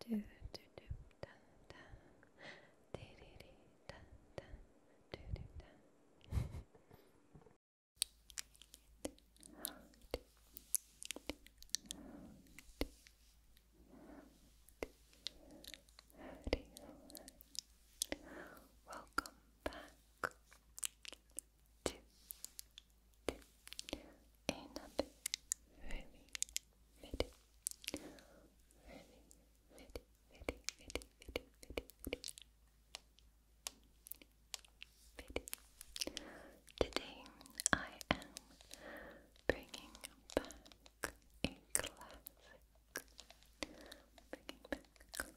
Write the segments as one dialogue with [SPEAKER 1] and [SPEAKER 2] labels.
[SPEAKER 1] do do do da da dee dee dee da da do do da Howdy, howdy. Welcome back to, to another really very, very, very, very, very, very, very, very. Today I am bringing back a classic. Bringing back a classic.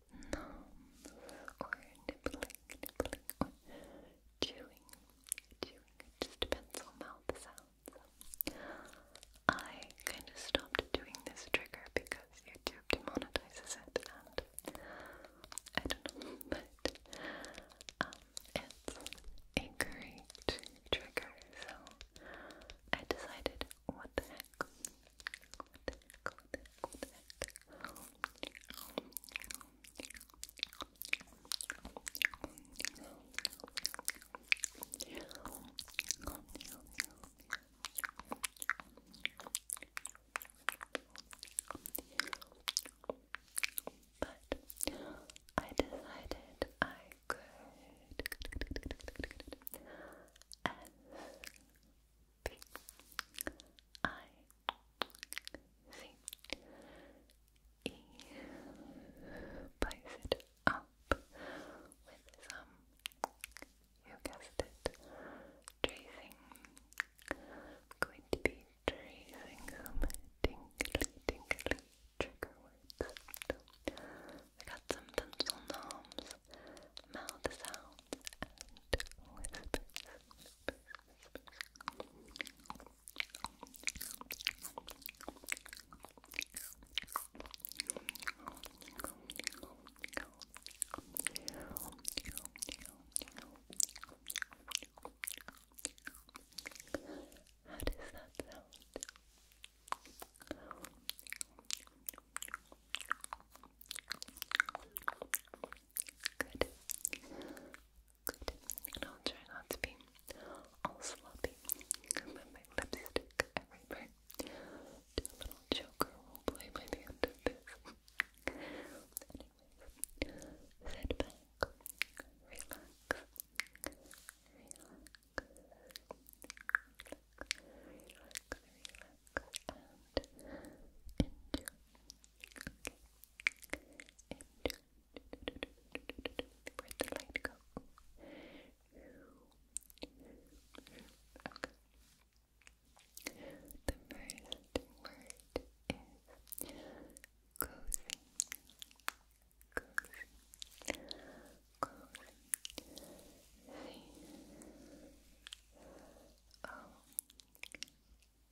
[SPEAKER 1] numbs or nibbling, nibbling, or chewing, chewing. It just depends on mouth sounds. I kind of stopped doing this trigger because YouTube demonetizes it, and but it's a great trigger, so I decided what the heck? But I decided I could S P I sí, y it up with some, you guessed it, tracing. I'm going to be tracing some tingly, tingly trigger words. So, got some dental norms, mouth sounds, and whispers. How does that sound? How does that sound? Good. Good. And I'll try not to be all sloppy. But my lipstick everywhere. Do little joker roleplay by the end Anyways, sit back, relax, relax. Relax, relax, and enjoy. Where'd the light go? Okay. The first word is cozy. Cozy. Cozy. C O Z cozy,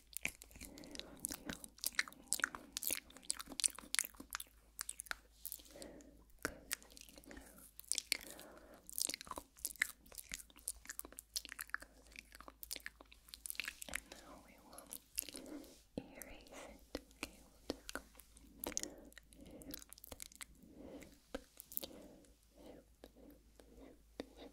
[SPEAKER 1] And now we will erase it. Okay, we'll just go it all. The next word is whisk.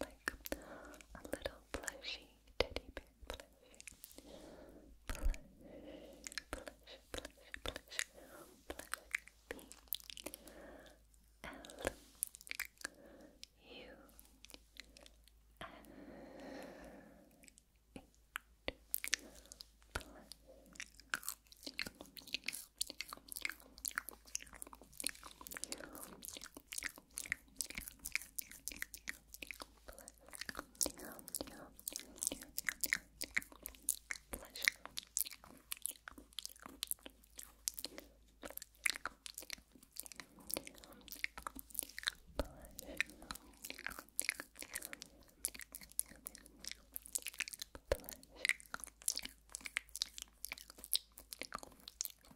[SPEAKER 1] like a little plushy teddy bear plush. Plush, plush, plush, plush, plush, B L U N Pleasure. Pleasure.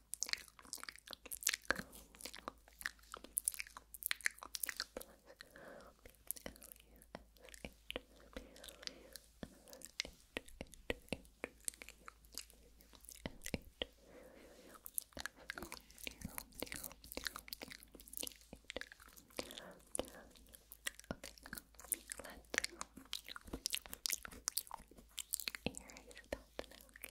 [SPEAKER 1] Okay, let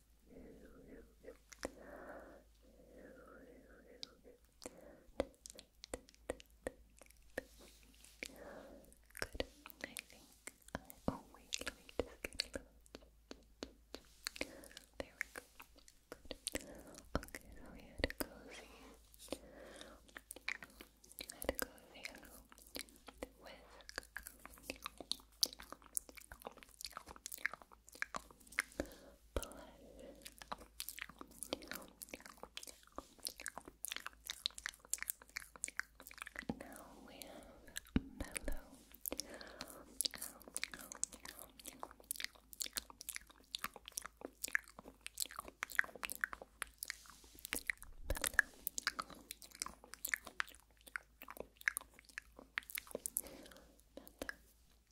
[SPEAKER 1] I think oh wait, let me just get a little, there we go, good, okay, so we had a cozy, I had a cozy little whisk, Blush. Now we have mellow. Mellow. Mellow.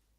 [SPEAKER 1] Mellow,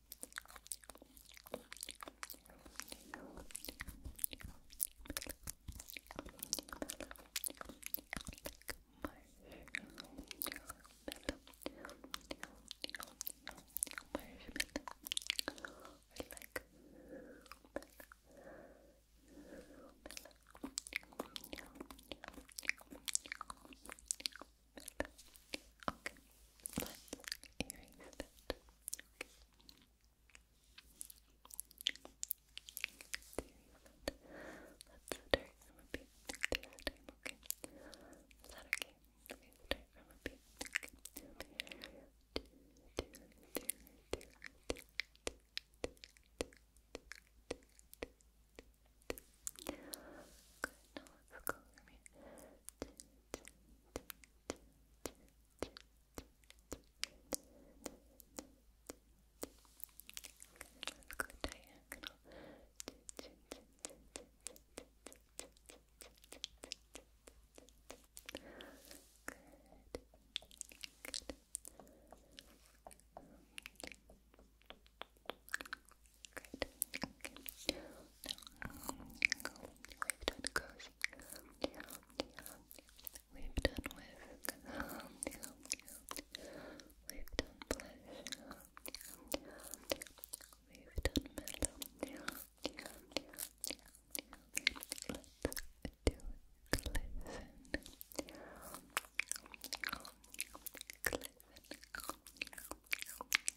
[SPEAKER 1] Marshmallow, Okay, let's erase that. Okay. Let's start from a beat this time, okay? Is that okay? Okay, start from a beat. Good, now let's go from here. Let's go diagonal. Good. Good. Good. Okay. we've done cozy. We've done whisk. We've done pleasure. We've done metal. Let's do glisten. Glisten.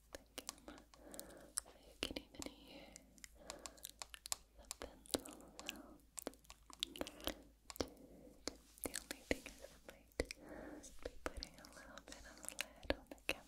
[SPEAKER 1] thinking about. So you can even hear the pencil sound. The only thing is I might be putting a little bit of a on the camera.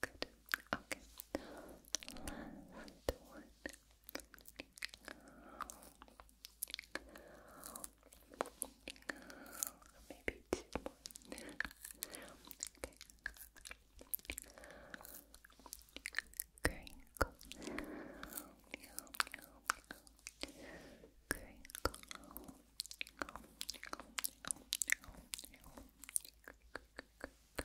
[SPEAKER 1] Good. Okay. Last one. Maybe two more. okay. Crinkle. Crinkle. C R I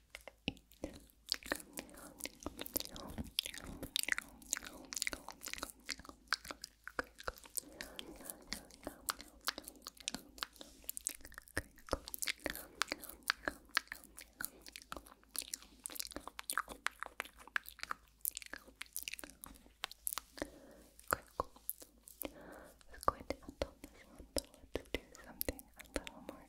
[SPEAKER 1] Let's go ahead and top this Let's do something a little more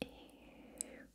[SPEAKER 1] Eep, eep,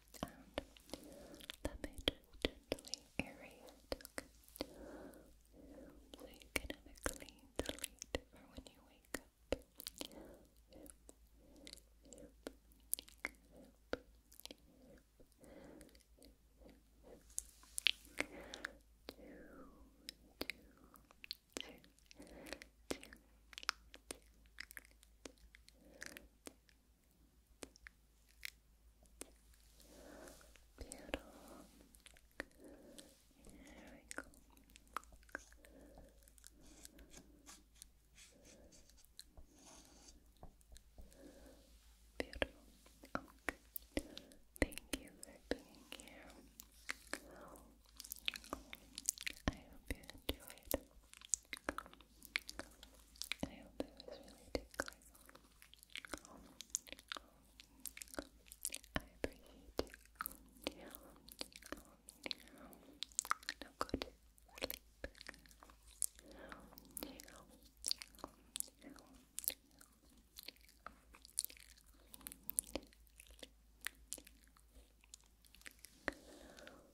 [SPEAKER 1] And let me gently aerate, So you can have a clean delete for when you wake up. Beautiful. There we Beautiful. Okay. Thank you for being here. I hope you enjoyed. I hope it was really tickling. I appreciate it. Now go to sleep. Good night.